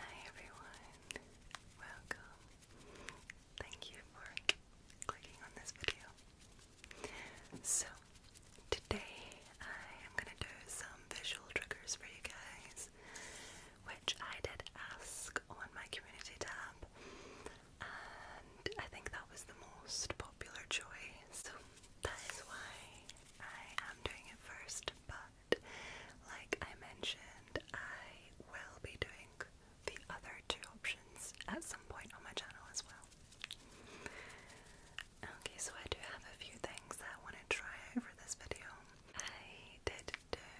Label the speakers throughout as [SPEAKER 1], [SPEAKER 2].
[SPEAKER 1] Hi everyone, welcome. Thank you for clicking on this video. So, today I am going to do some visual triggers for you guys, which I did ask on my community tab, and I think that was the most popular choice. So, that is why I am doing it first, but like I mentioned, I will be doing the other two options at some point on my channel as well. Okay, so I do have a few things that I want to try out this video. I did do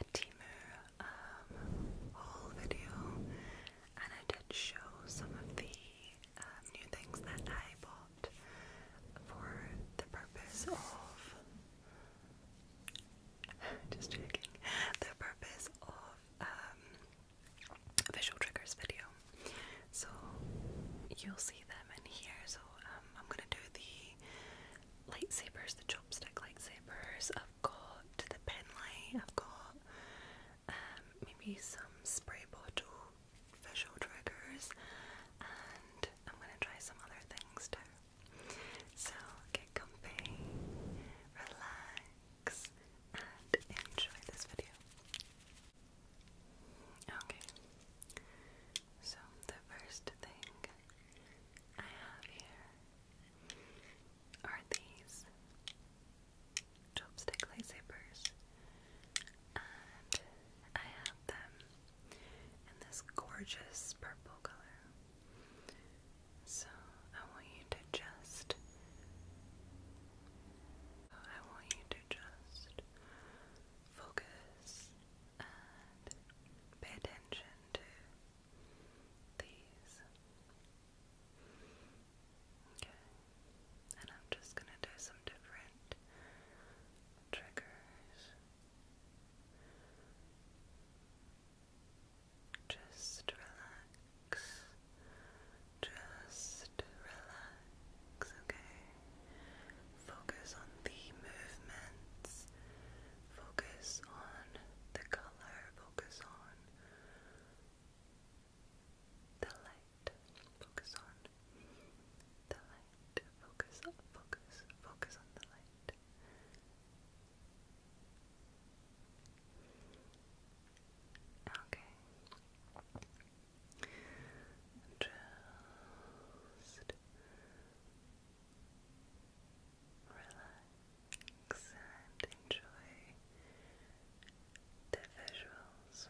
[SPEAKER 1] a Timu um, haul video and I did show some of the um, new things that I bought for the purpose of just checking the purpose of um, visual triggers video. So you'll see them in here. So um, I'm gonna do the lightsabers, the chopstick lightsabers. I've got the pen I've got um, maybe some spray bottle visual triggers, and I'm going to try some other things too. So get comfy, relax, and enjoy this video. Okay, so the first thing I have here are these chopstick lightsabers, and I have them in this gorgeous purple color. So I want you to just, I want you to just focus and pay attention to these. Okay, and I'm just gonna do some different triggers just relax just relax, okay? Focus on the movements focus on the color, focus on the light, focus on the light, focus, focus, focus on the light. Okay. Just relax, and enjoy the visuals. Relax.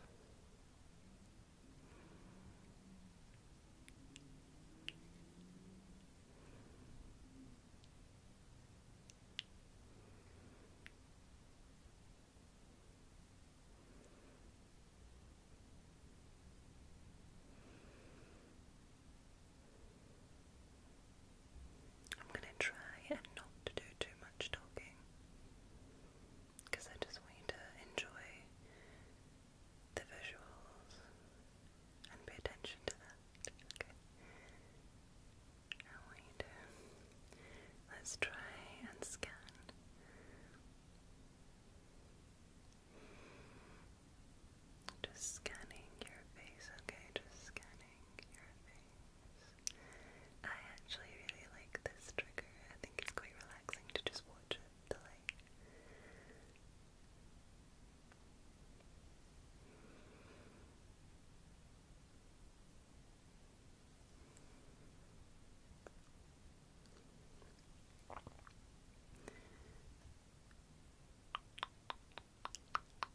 [SPEAKER 1] I'm going to try and not to do too much talking because I just want you to enjoy the visuals and pay attention to that. Okay. I want you to let's try and scan. Just scanning your face, okay? Just scanning covering your I actually really like this trigger. I think it's quite relaxing to just watch it delay.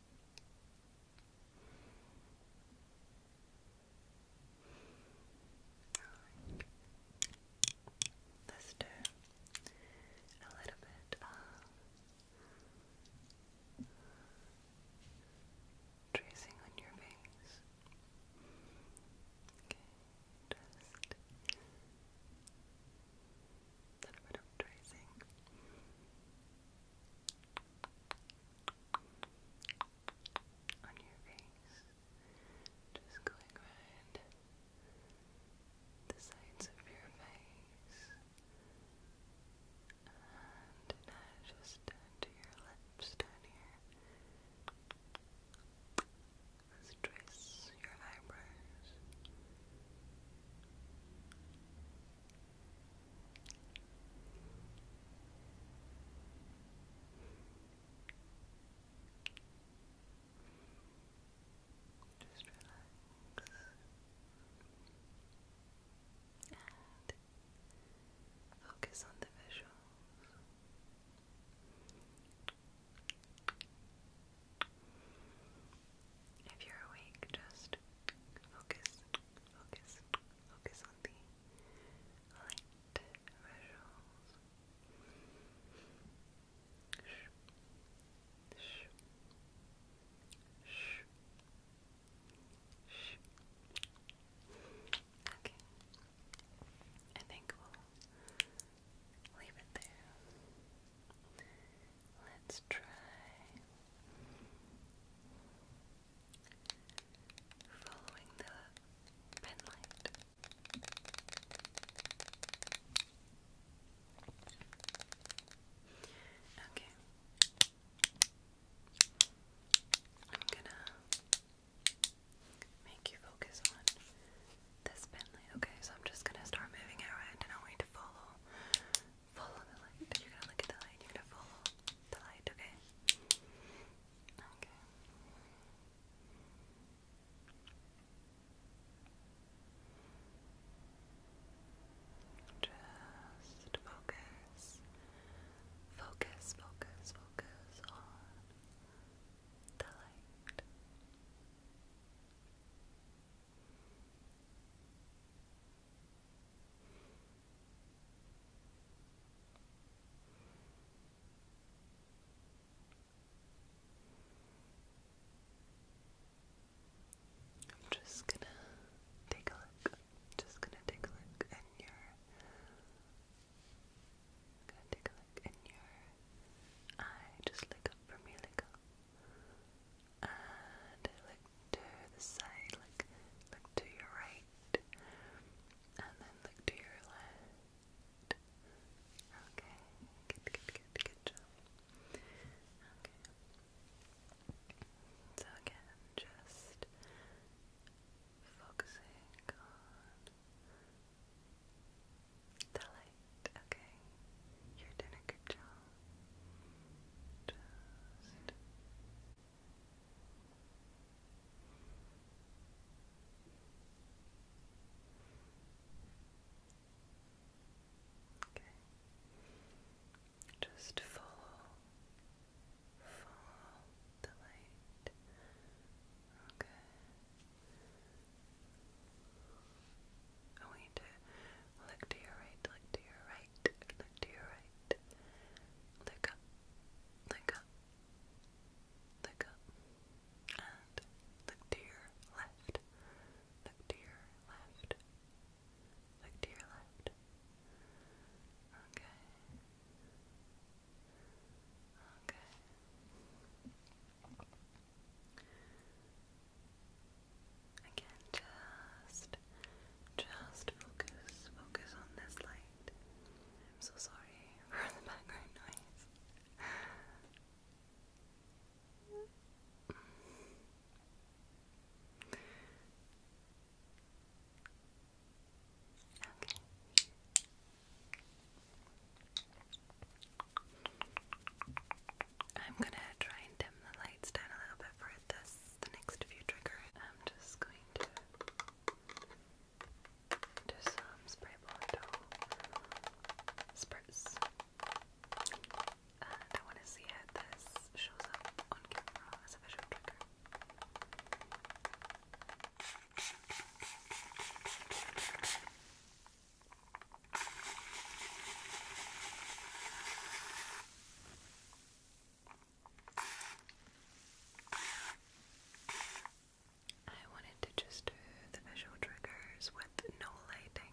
[SPEAKER 1] Alright. let a little bit of tracing on your face. Okay, just a little bit of tracing. On your face, just going around the sides of your face, and just to your lips down here. Let's trace your eyebrows. Just relax and focus on the visuals. If you're awake, just focus, focus, focus on the light visuals. Okay. I think we'll leave it there. Let's try following the pen Okay. I'm gonna make you focus on this Bentley. Okay, so I'm just gonna start moving around and I want you to follow. Follow the light. You're gonna look at the light. You're gonna follow the light, okay? Okay. Just focus. Focus, focus, focus on the light. I'm just gonna take a look. Just gonna take a look in your. gonna take a look in your eye. Just look up for me, look up, and look to the side, look, look to your right, and then look to your left. Okay, good, good, good, good job. Okay. So again, just focusing on the light, okay. You're doing a good job. Just Okay. Just follow, follow the light. Okay. I want you to look to your right, look to your right, look to your right. Look up, look up, look up, and look to your left, look to your left, look to your left. Okay. Okay. Again, just, just focus, focus on this light. I'm so sorry for the background noise. Okay. I'm gonna try and dim the lights down a little bit for this, next few triggers. I'm just going to do some spray bottle spritz. Uh, I want to see how this shows up on camera as a visual trigger. I wanted to just do the visual triggers with no lighting.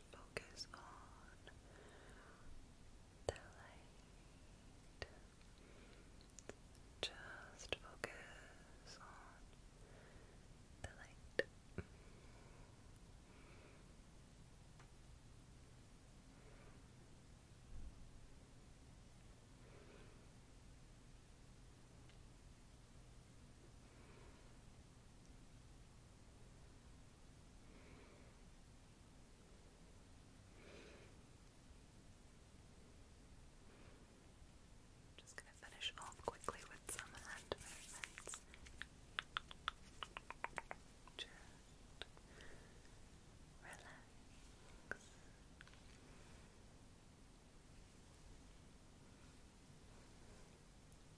[SPEAKER 1] just focus on the light. Just focus on the light. Just going to finish off quickly with some hand movements. Relax.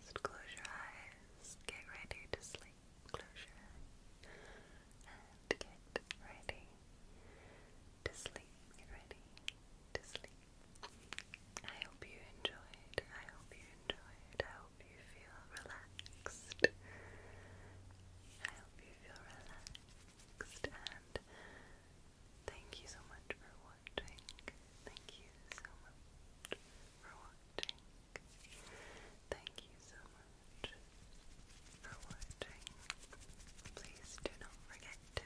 [SPEAKER 1] Just close your eyes, get ready to sleep. Close your eyes and get ready to sleep. Get ready to sleep. I hope you enjoyed. I hope you enjoyed. I hope you feel relaxed. I hope you feel relaxed relaxed and thank you so much for watching. Thank you so much for watching. Thank you so much for watching. Please do not forget to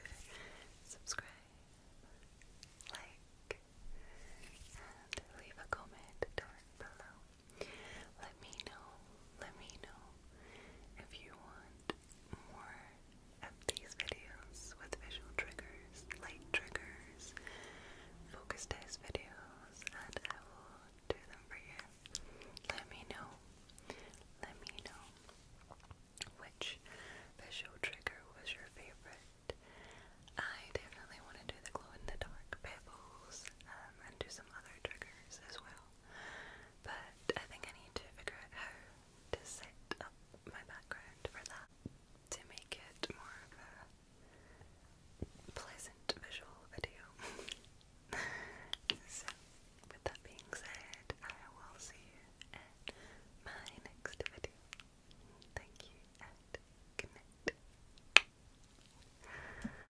[SPEAKER 1] subscribe, like, and leave a comment down below let me know, let me know if you want more of these videos with visual triggers, light triggers, focus test videos, and I will do them for you. Let me know, let me know which visual trigger was your favorite. I definitely want to do the glow in the dark pebbles um, and do some other triggers as well. But I think I need to figure out how to set up my background for that to make it more of a pleasant visual video. so, with that being said, I will see you in my next video. Thank you and good night.